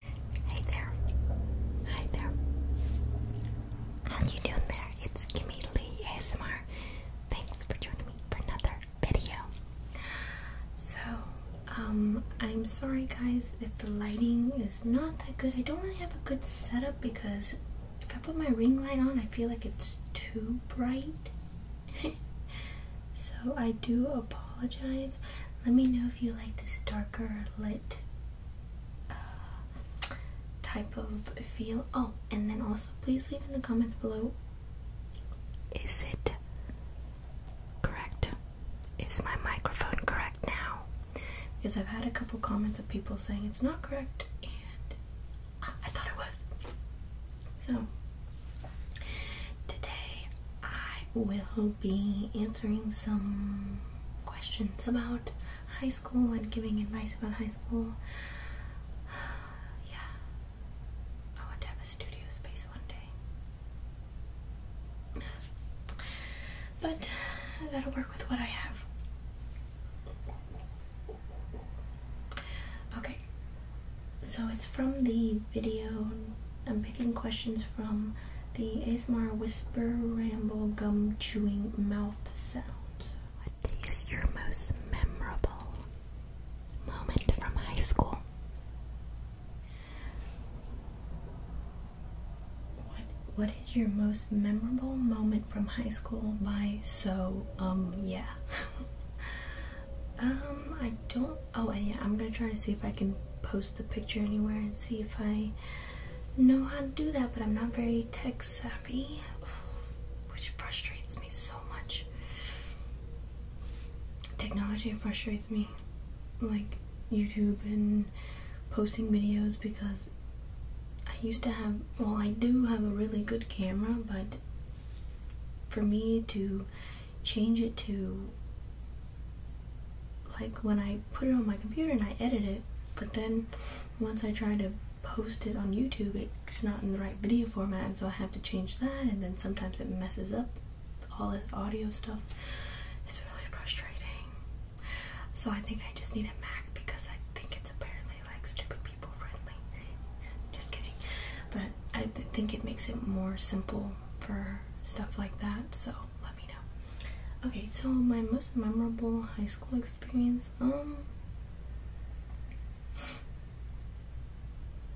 Hey there. Hi there. How you doing there? It's Kimmy Lee ASMR. Thanks for joining me for another video. So, um, I'm sorry guys if the lighting is not that good. I don't really have a good setup because if I put my ring light on, I feel like it's too bright. so, I do apologize. Let me know if you like this darker lit uh, type of feel. Oh, and then also please leave in the comments below is it correct? Is my microphone correct now? Because I've had a couple comments of people saying it's not correct and I thought it was. So, today I will be answering some questions about high school and giving advice about high school. yeah. I want to have a studio space one day. But I gotta work with what I have. Okay. So it's from the video I'm picking questions from the Asmar Whisper Ramble Gum Chewing Mouth Sounds. What is your most memorable moment from high school? What What is your most memorable moment from high school by So Um Yeah? um, I don't Oh, and yeah, I'm gonna try to see if I can post the picture anywhere and see if I know how to do that, but I'm not very tech savvy, which frustrates me so much. Technology frustrates me, like YouTube and posting videos, because I used to have, well, I do have a really good camera, but for me to change it to like when I put it on my computer and I edit it, but then once I try to post it on YouTube, it's not in the right video format, and so I have to change that, and then sometimes it messes up all the audio stuff. It's really frustrating. So I think I just need a Mac because I think it's apparently like stupid people friendly. just kidding. But I think it makes it more simple for stuff like that, so let me know. Okay, so my most memorable high school experience, um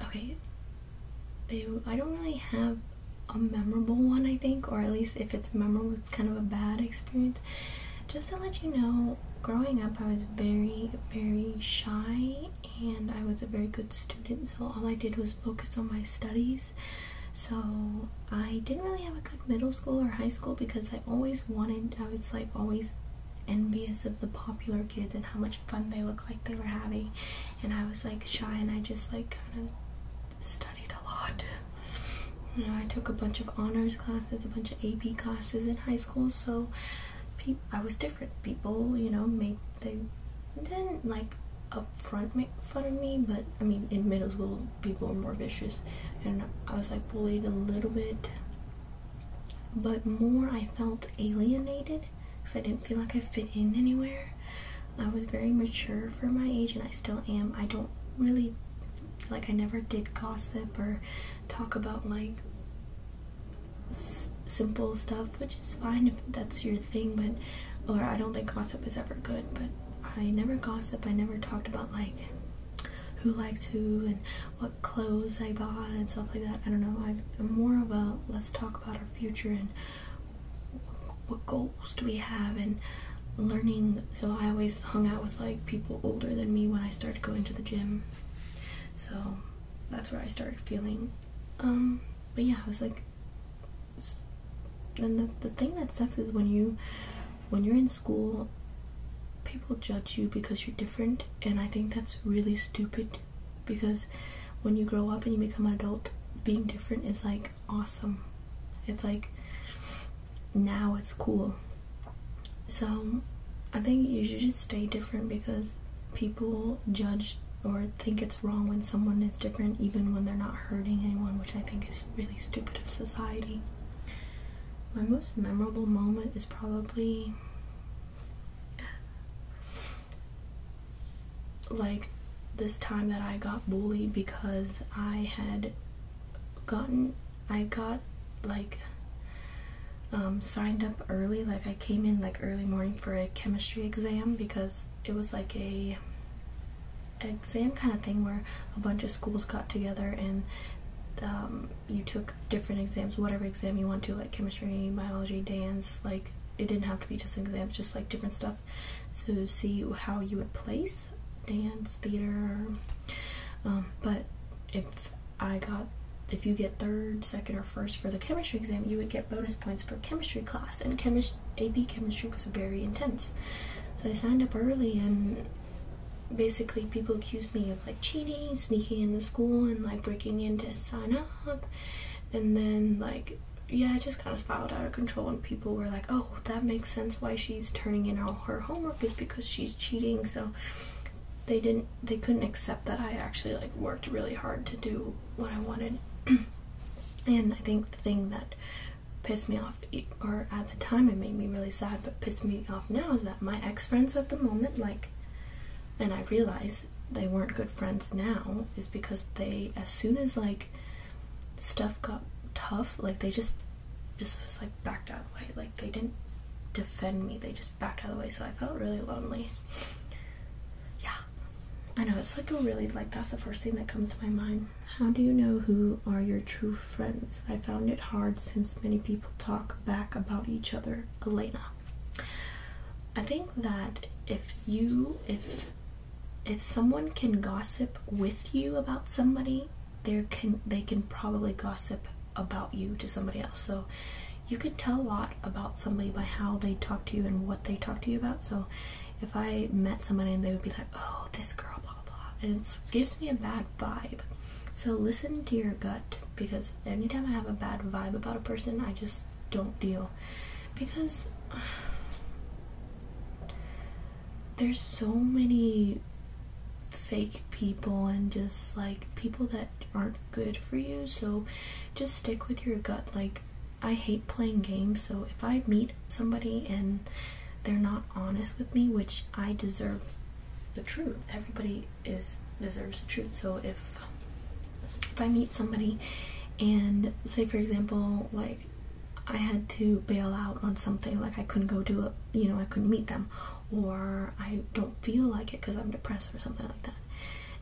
Okay. I don't really have a memorable one, I think, or at least if it's memorable, it's kind of a bad experience. Just to let you know, growing up, I was very, very shy and I was a very good student, so all I did was focus on my studies. So I didn't really have a good middle school or high school because I always wanted, I was like always envious of the popular kids and how much fun they looked like they were having. And I was like shy and I just like kind of studied a lot. You know, I took a bunch of honors classes, a bunch of AP classes in high school, so I was different. People, you know, made, they didn't like front make fun of me, but I mean, in middle school, people were more vicious, and I was like bullied a little bit, but more I felt alienated because I didn't feel like I fit in anywhere. I was very mature for my age, and I still am. I don't really like, I never did gossip or talk about like simple stuff, which is fine if that's your thing, but or I don't think gossip is ever good, but I never gossip. I never talked about like who likes who and what clothes I bought and stuff like that. I don't know. I'm more of a let's talk about our future and what goals do we have and learning. So I always hung out with like people older than me when I started going to the gym. So that's where I started feeling. Um, but yeah, I was like and the, the thing that sucks is when you when you're in school people judge you because you're different and i think that's really stupid because when you grow up and you become an adult being different is like awesome it's like now it's cool so i think you should just stay different because people judge or think it's wrong when someone is different, even when they're not hurting anyone, which I think is really stupid of society. My most memorable moment is probably like this time that I got bullied because I had gotten, I got like um, signed up early, like I came in like early morning for a chemistry exam because it was like a exam kind of thing where a bunch of schools got together and um, you took different exams, whatever exam you want to, like chemistry, biology, dance, like it didn't have to be just exams, just like different stuff to see how you would place dance, theater, um, but if I got if you get third, second, or first for the chemistry exam, you would get bonus points for chemistry class. And chemis- AP chemistry was very intense. So I signed up early, and basically, people accused me of like cheating, sneaking in the school, and like breaking in to sign up. And then, like, yeah, it just kind of spiraled out of control, and people were like, oh, that makes sense why she's turning in all her homework is because she's cheating. So they didn't they couldn't accept that I actually like worked really hard to do what I wanted. and I think the thing that pissed me off, or at the time it made me really sad, but pissed me off now is that my ex friends at the moment, like, and I realize they weren't good friends now, is because they, as soon as like stuff got tough, like they just just like backed out of the way. Like they didn't defend me, they just backed out of the way. So I felt really lonely. Yeah, I know it's like a really like that's the first thing that comes to my mind. How do you know who are your true friends? I found it hard since many people talk back about each other. Elena. I think that if you if if someone can gossip with you about somebody, there can they can probably gossip about you to somebody else. So you could tell a lot about somebody by how they talk to you and what they talk to you about. So if I met somebody and they would be like, oh, this girl, blah, blah, blah," and it gives me a bad vibe. So listen to your gut because anytime I have a bad vibe about a person, I just don't deal. Because there's so many fake people and just like people that aren't good for you so just stick with your gut like i hate playing games so if i meet somebody and they're not honest with me which i deserve the truth everybody is deserves the truth so if if i meet somebody and say for example like i had to bail out on something like i couldn't go do it you know i couldn't meet them or i don't feel like it because i'm depressed or something like that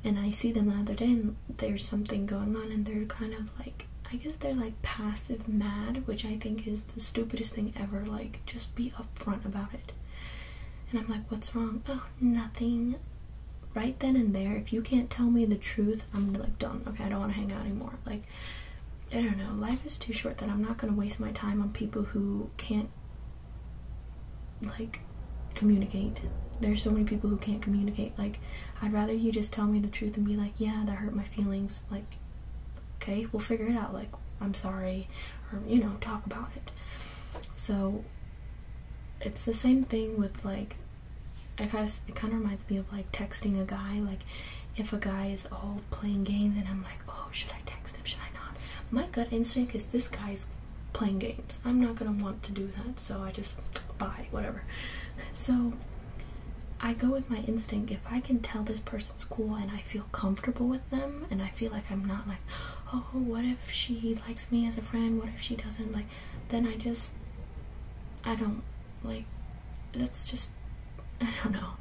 and I see them the other day and there's something going on and they're kind of like I guess they're like passive mad, which I think is the stupidest thing ever. Like just be upfront about it. And I'm like, what's wrong? Oh, nothing. Right then and there, if you can't tell me the truth, I'm like done. Okay, I don't want to hang out anymore. Like I don't know. Life is too short that I'm not going to waste my time on people who can't like communicate. There's so many people who can't communicate. Like, I'd rather you just tell me the truth and be like, yeah, that hurt my feelings. Like, okay, we'll figure it out. Like, I'm sorry, or you know, talk about it. So, it's the same thing with like, it kind of reminds me of like texting a guy. Like, if a guy is all playing games and I'm like, oh, should I text him? Should I not? My gut instinct is this guy's playing games. I'm not gonna want to do that, so I just buy whatever. So I go with my instinct. If I can tell this person's cool and I feel comfortable with them, and I feel like I'm not like, oh, what if she likes me as a friend? What if she doesn't? Like, then I just, I don't like. That's just, I don't know,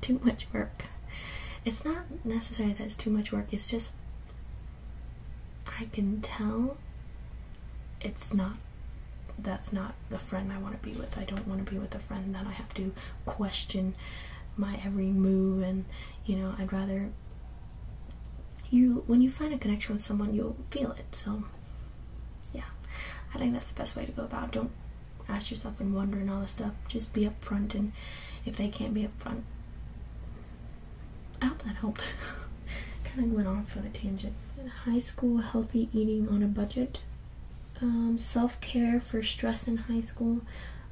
too much work. It's not necessary that it's too much work. It's just I can tell it's not that's not the friend I want to be with. I don't want to be with a friend that I have to question my every move and you know, I'd rather you when you find a connection with someone, you'll feel it. So yeah. I think that's the best way to go about. Don't ask yourself and wonder and all this stuff. Just be upfront and if they can't be upfront, I hope that helped. kind of went off on a tangent. High school healthy eating on a budget. Um, Self care for stress in high school.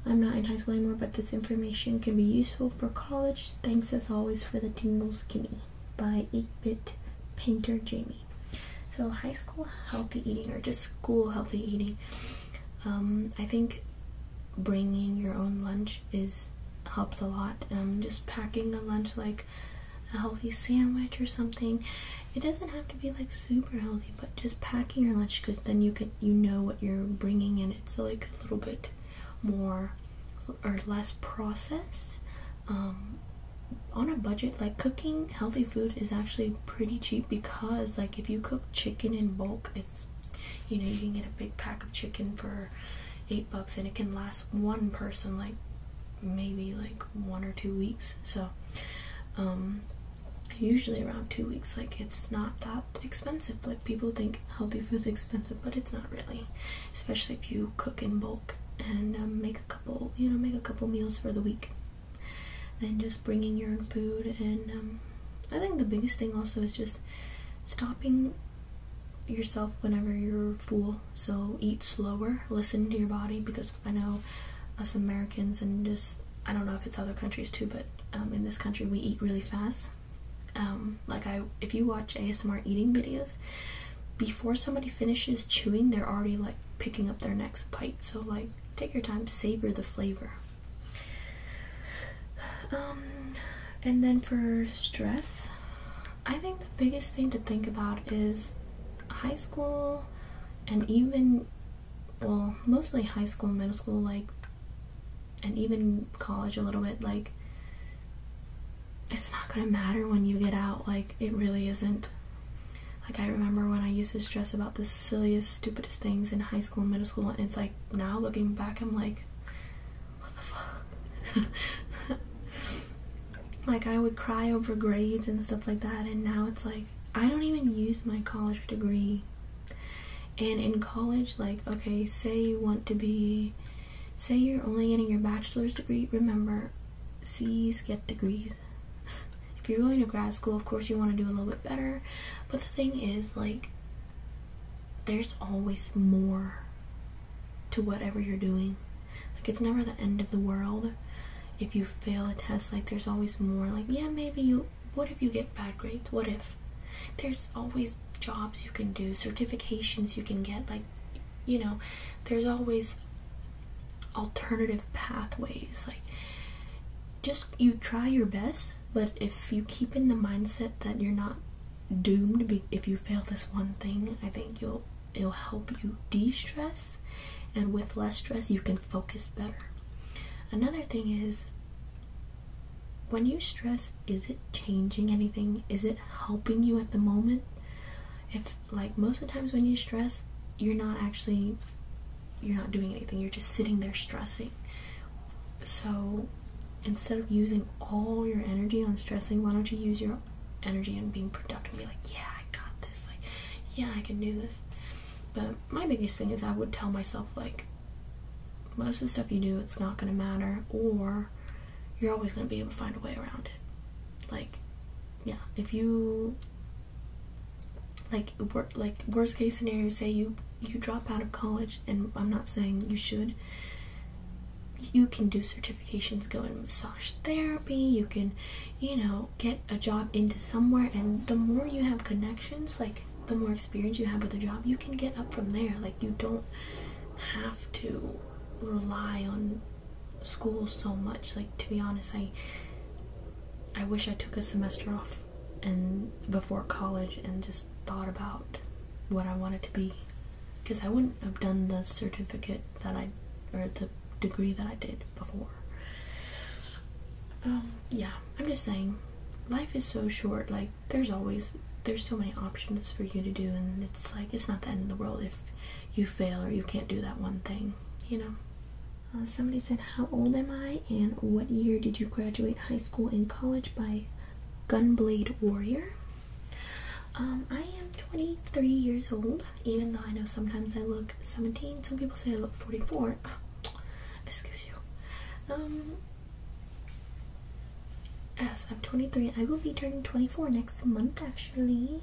I'm not in high school anymore, but this information can be useful for college. Thanks as always for the Tingles give by 8 Bit Painter Jamie. So, high school healthy eating or just school healthy eating. Um, I think bringing your own lunch is helped a lot. Um, just packing a lunch like a healthy sandwich or something. It doesn't have to be like super healthy, but just packing your lunch because then you can you know what you're bringing and It's like a little bit more or less processed. Um, on a budget, like cooking healthy food is actually pretty cheap because like if you cook chicken in bulk, you know, you can get a big pack of chicken for eight bucks and it can last one person like maybe like one or two weeks. So um usually around two weeks, like it's not that expensive. Like people think healthy food's expensive, but it's not really. Especially if you cook in bulk and um, make a couple, you know, make a couple meals for the week. And just bringing your own food and um, I think the biggest thing also is just stopping yourself whenever you're full. So eat slower, listen to your body because I know us Americans and just I don't know if it's other countries too, but um, in this country we eat really fast. Um, like I, if you watch ASMR eating videos, before somebody finishes chewing, they're already like picking up their next bite. So like, take your time, savor the flavor. Um, and then for stress, I think the biggest thing to think about is high school and even, well, mostly high school, middle school, like, and even college a little bit, like, it's not gonna matter when you get out, like, it really isn't. Like, I remember when I used to stress about the silliest, stupidest things in high school school middle school and it's like now looking back i'm like what the fuck like i would cry over grades and stuff like that and now it's like i don't even use my college degree and in college like okay say you want to be say you're only getting your bachelor's degree remember c's get degrees if you're going to grad school of course you want to do a little bit better but thing is, like, there's always more to whatever you're doing. Like, it's never the end of the world. If you fail a test, like, there's always more. Like, yeah, maybe you, what if you get bad grades? What if? There's always jobs you can do, certifications you can get. Like, you know, there's always alternative pathways. Like, just you try your best but if you keep in the mindset that you're not doomed if you fail this one thing, I think you'll it'll help you de-stress and with less stress you can focus better. Another thing is when you stress, is it changing anything? Is it helping you at the moment? If like most of the times when you stress, you're not actually you're not doing anything you're just sitting there stressing so instead of using all your energy on stressing why don't you use your energy on being productive and be like yeah i got this like yeah i can do this but my biggest thing is i would tell myself like most of the stuff you do it's not going to matter or you're always going to be able to find a way around it like yeah if you like wor like worst case scenario say you you drop out of college and I'm not saying you should you can do certifications go in massage therapy you can you know get a job into somewhere and the more you have connections like the more experience you have with a job you can get up from there like you don't have to rely on school so much like to be honest i i wish i took a semester off and before college and just thought about what I wanted to be because I wouldn't have done the certificate that I or the degree that I did before. Um, yeah, I'm just saying life is so short like there's always there's so many options for you to do and it's like it's not the end of the world if you fail or you can't do that one thing, you know. Uh, somebody said, How old am I? And what year did you graduate high school and college by Gunblade Warrior? Um, I am 23 years old, even though I know sometimes I look 17. Some people say I look 44. excuse you. Um, yes, I'm 23. I will be turning 24 next month, actually.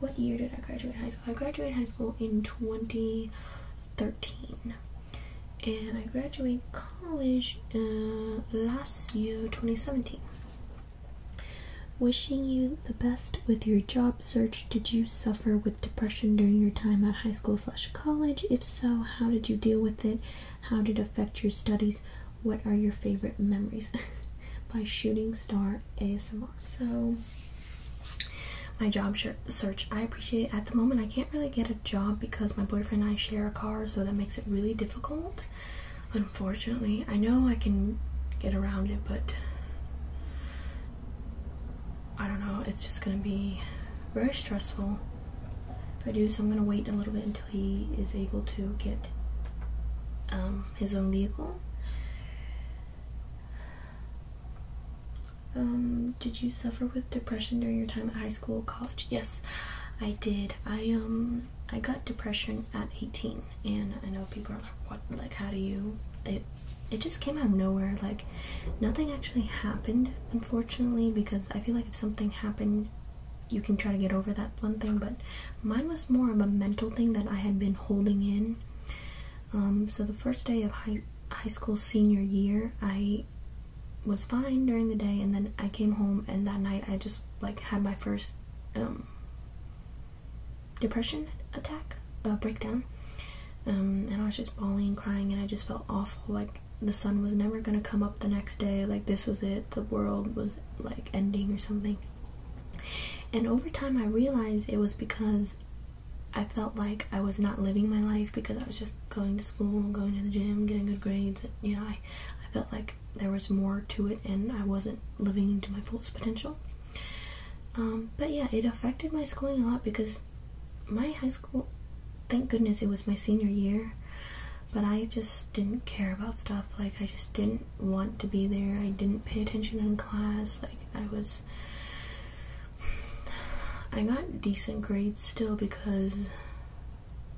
What year did I graduate high school? I graduated high school in 20. 13 and I graduated college uh, last year 2017 Wishing you the best with your job search. Did you suffer with depression during your time at high school slash college? If so, how did you deal with it? How did it affect your studies? What are your favorite memories? By Shooting Star ASMR. So my job search. I appreciate it. At the moment, I can't really get a job because my boyfriend and I share a car, so that makes it really difficult. Unfortunately, I know I can get around it, but I don't know. It's just gonna be very stressful if I do. So I'm gonna wait a little bit until he is able to get um, his own vehicle. Um, did you suffer with depression during your time at high school, college? Yes, I did. I um I got depression at 18 and I know people are like what like how do you it it just came out of nowhere like nothing actually happened unfortunately because I feel like if something happened you can try to get over that one thing but mine was more of a mental thing that I had been holding in um, so the first day of high high school senior year, I was fine during the day, and then I came home, and that night I just like had my first um, depression attack, a breakdown, um, and I was just bawling, crying, and I just felt awful. Like the sun was never gonna come up the next day. Like this was it. The world was like ending or something. And over time, I realized it was because I felt like I was not living my life because I was just going to school, going to the gym, getting good grades. You know, I, I felt like there was more to it and I wasn't living to my fullest potential. Um, but yeah, it affected my schooling a lot because my high school, thank goodness it was my senior year, but I just didn't care about stuff. Like, I just didn't want to be there. I didn't pay attention in class. Like, I was I got decent grades still because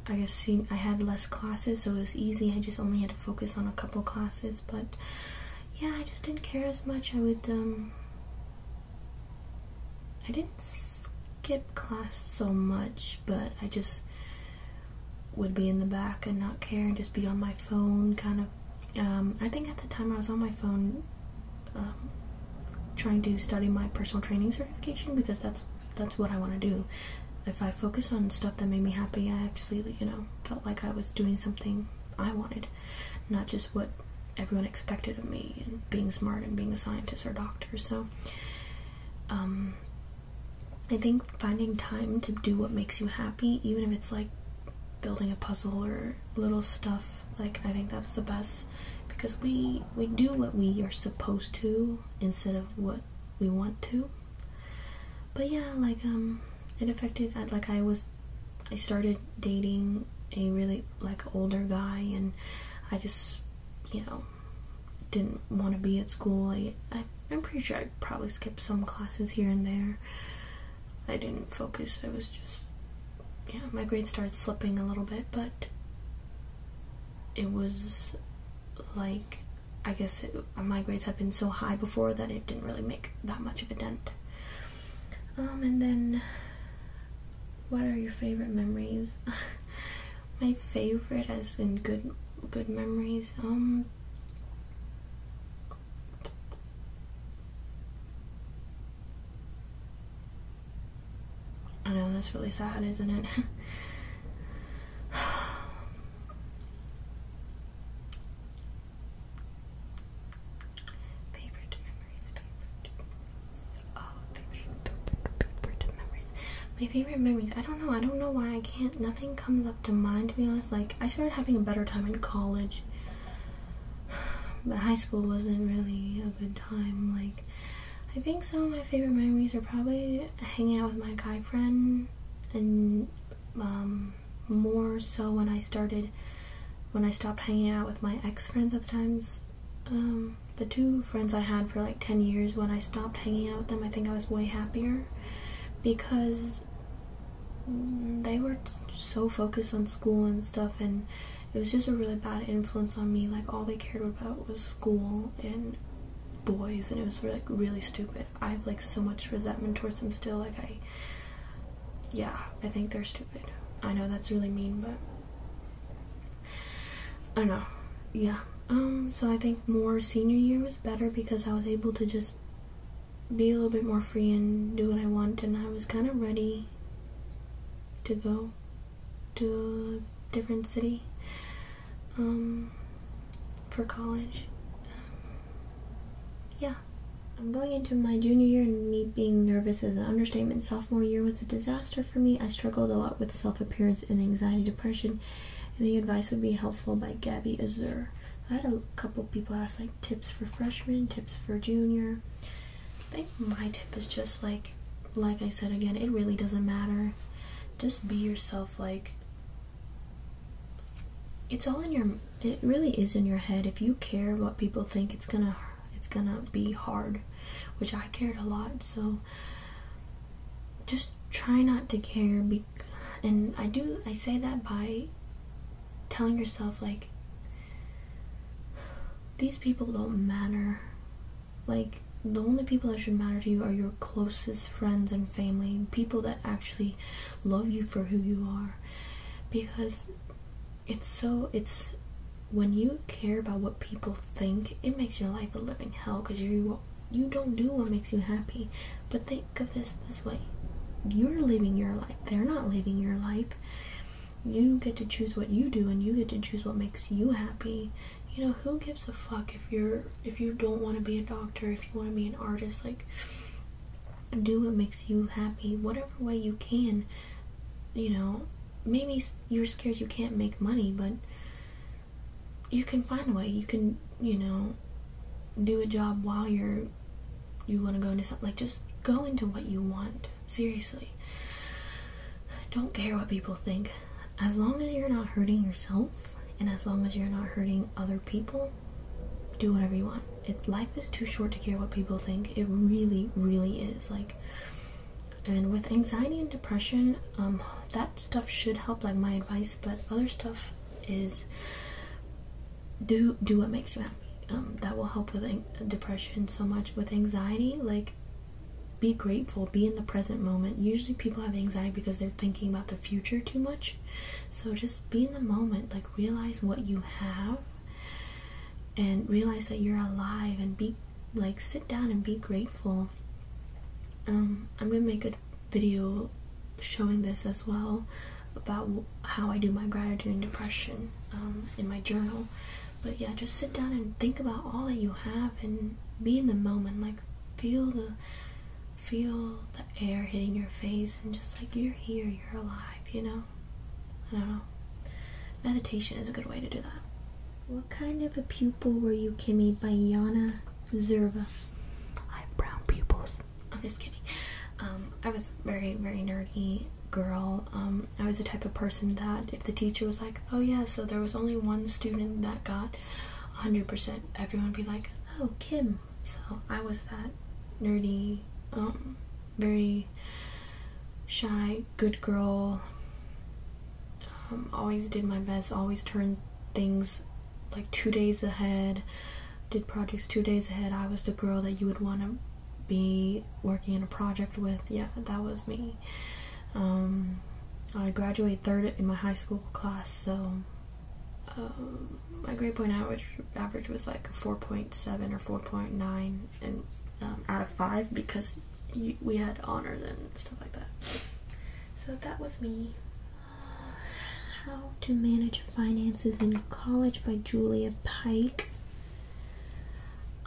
I guess I had less classes, so it was easy. I just only had to focus on a couple classes, but yeah, I just didn't care as much. I would, um, I didn't skip class so much, but I just would be in the back and not care and just be on my phone, kind of um, I think at the time I was on my phone um, trying to study my personal training certification because that's that's what I want to do. If I focus on stuff that made me happy, I actually, you know, felt like I was doing something I wanted, not just what everyone expected of me and being smart and being a scientist or doctor. So, um, I think finding time to do what makes you happy, even if it's like building a puzzle or little stuff like i think that's the best because we we do what we are supposed to instead of what we want to but yeah like um it affected uh, like i was i started dating a really like older guy and i just you know didn't want to be at school I, I i'm pretty sure i probably skipped some classes here and there I didn't focus. I was just, yeah, my grade started slipping a little bit, but it was like, I guess my grades had been so high before that it didn't really make that much of a dent. Um, and then, what are your favorite memories? my favorite, has been good, good memories, um, I know, that's really sad, isn't it? favorite memories, oh, favorite memories. My favorite memories. I don't know. I don't know why I can't. Nothing comes up to mind, to be honest. Like I started having a better time in college. But high school wasn't really a good time. Like I think some of my favorite memories are probably hanging out with my guy friend and um, more so when I started when I stopped hanging out with my ex friends at the times. Um, the two friends I had for like 10 years when I stopped hanging out with them, I think I was way happier because Mm, they were so focused on school and stuff and it was just a really bad influence on me like all they cared about was school and boys and it was like really, stupid i have like so much resentment towards them still like i yeah i think they're stupid i know that's really mean but i don't know yeah um so i think more senior year was better because i was able to just be a little bit more free and do what I want, and I was kind of ready to go to a different city um, for college. Um, yeah. I'm going into my junior year and me being nervous is an understatement. Sophomore year was a disaster for me. I struggled a lot with self-appearance and anxiety depression. and the advice would be helpful by Gabby Azur. I had a couple people ask like tips for freshman, tips for junior. I think my tip is just like, like I said again, it really doesn't matter. Just be yourself. Like, it's all in your. It really is in your head. If you care what people think, it's gonna, it's gonna be hard, which I cared a lot. So, just try not to care. Be and i do i say that by telling yourself like these people don't matter like the only people that should matter to you are your closest friends and family people that actually love you for who you are because it's so it's when you care about what people think it makes your life a living hell because you you don't do what makes you happy but they of this this way you're living your life they're not living your life you get to choose what you do and you get to choose what makes you happy you know who gives a fuck if you're if you don't want to be a doctor if you want to be an artist like do what makes you happy whatever way you can you know maybe you're scared you can't make money but you can find a way you can you know, do a job while you're you want to go into something like just go into what you want. Seriously. Don't care what people think. As long as you're not hurting yourself and as long as you're not hurting other people, do whatever you want. life is too short to care what people think. It really, really is. Like, and with anxiety and depression, um, that stuff should help, like my advice, but other stuff is do do what makes you happy. Um, that will help with depression so much. With anxiety, like be grateful, be in the present moment. Usually people have anxiety because they're thinking about the future too much. So just be in the moment, like realize what you have and realize that you're alive and be like sit down and be grateful. Um, I'm gonna make a video showing this as well about how I do my gratitude and depression um, in my journal. But yeah, just sit down and think about all that you have and be in the moment. Like feel the feel the air hitting your face and just like you're here, you're alive. You know, I don't know. Meditation is a good way to do that. What kind of a pupil were you, Kimmy? By Yana Zerva. I have brown pupils. I'm just kidding. Um, I was very, very nerdy girl. Um, I was the type of person that if the teacher was like, oh yeah, so there was only one student that got 100%, everyone would be like, oh, Kim. So I was that nerdy, um, very shy, good girl. always did my best, always turned things like two days ahead, did projects two days ahead. I was the girl that you would want to be working in a project with. Yeah, that was me. Um, I graduated third in my high school class, so um, my grade point average average was like 4.7 or 4.9 and um, out of five because we had honors and stuff like that. So that was me. How to Manage Finances in College by Julia Pike.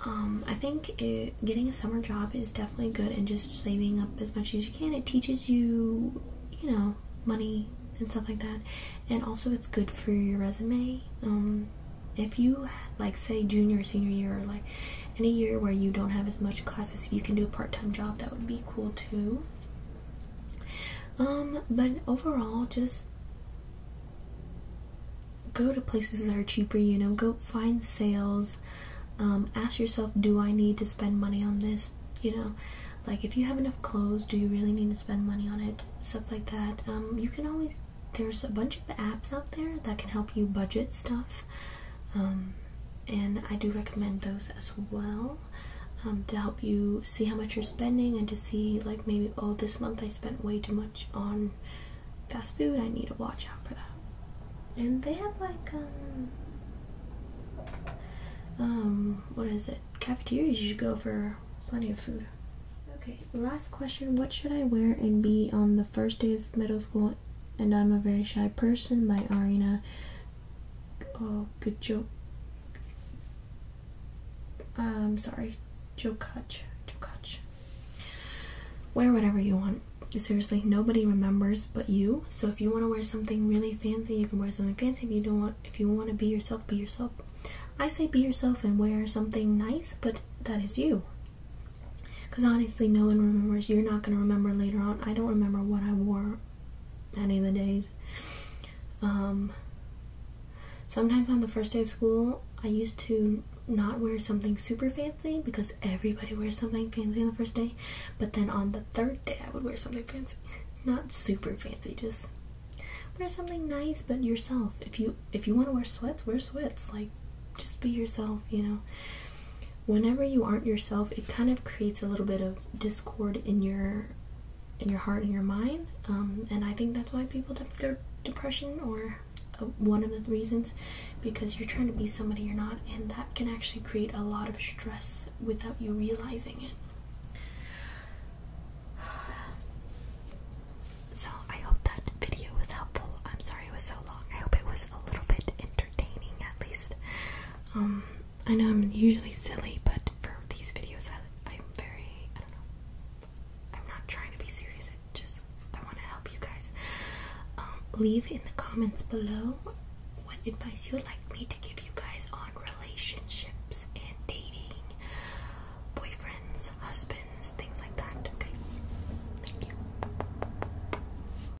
Um, I think getting a summer job is definitely good and just saving up as much as you can. It teaches you, you know, money and stuff like that. And also it's good for your resume. Um, if you like say junior or senior year or like any year where you don't have as much classes, you can do a part-time job, that would be cool too. Um, but overall, just go to places that are cheaper, you know, go find sales. Um, ask yourself, do I need to spend money on this? You know, like if you have enough clothes, do you really need to spend money on it? Stuff like that. Um, you can always, there's a bunch of apps out there that can help you budget stuff um, and I do recommend those as well um, to help you see how much you're spending and to see like maybe oh this month I spent way too much on fast food I need to watch out for that and they have like um um what is it cafeterias you should go for plenty of food okay last question what should I wear and be on the first day of middle school and I'm a very shy person my Arena Oh, good job. Um, sorry, Jokaj. Jokaj. Wear whatever you want. Seriously, nobody remembers but you. So if you want to wear something really fancy, you can wear something fancy. If you don't want, if you want to be yourself, be yourself. I say be yourself and wear something nice, but that is you. Because honestly, no one remembers. You're not going to remember later on. I don't remember what I wore any of the days. Um, sometimes on the first day of school, I used to not wear something super fancy because everybody wears something fancy on the first day. But then on the third day, I would wear something fancy. Not super fancy, just wear something nice but yourself. If you if you want to wear sweats, wear sweats. Like just be yourself, you know whenever you aren't yourself it kind of creates a little bit of discord in your in your heart and your mind um, and i think that's why people develop depression or uh, one of the reasons because you're trying to be somebody you're not and that can actually create a lot of stress without you realizing it so i hope that video was helpful i'm sorry it was so long i hope it was a little bit entertaining at least um, I know I'm usually silly, but for these videos, I, am very, I don't know, I'm not trying to be serious, just, I want to help you guys. Um, leave in the comments below what advice you would like me to give you guys on relationships and dating, boyfriends, husbands, things like that, okay? Thank you.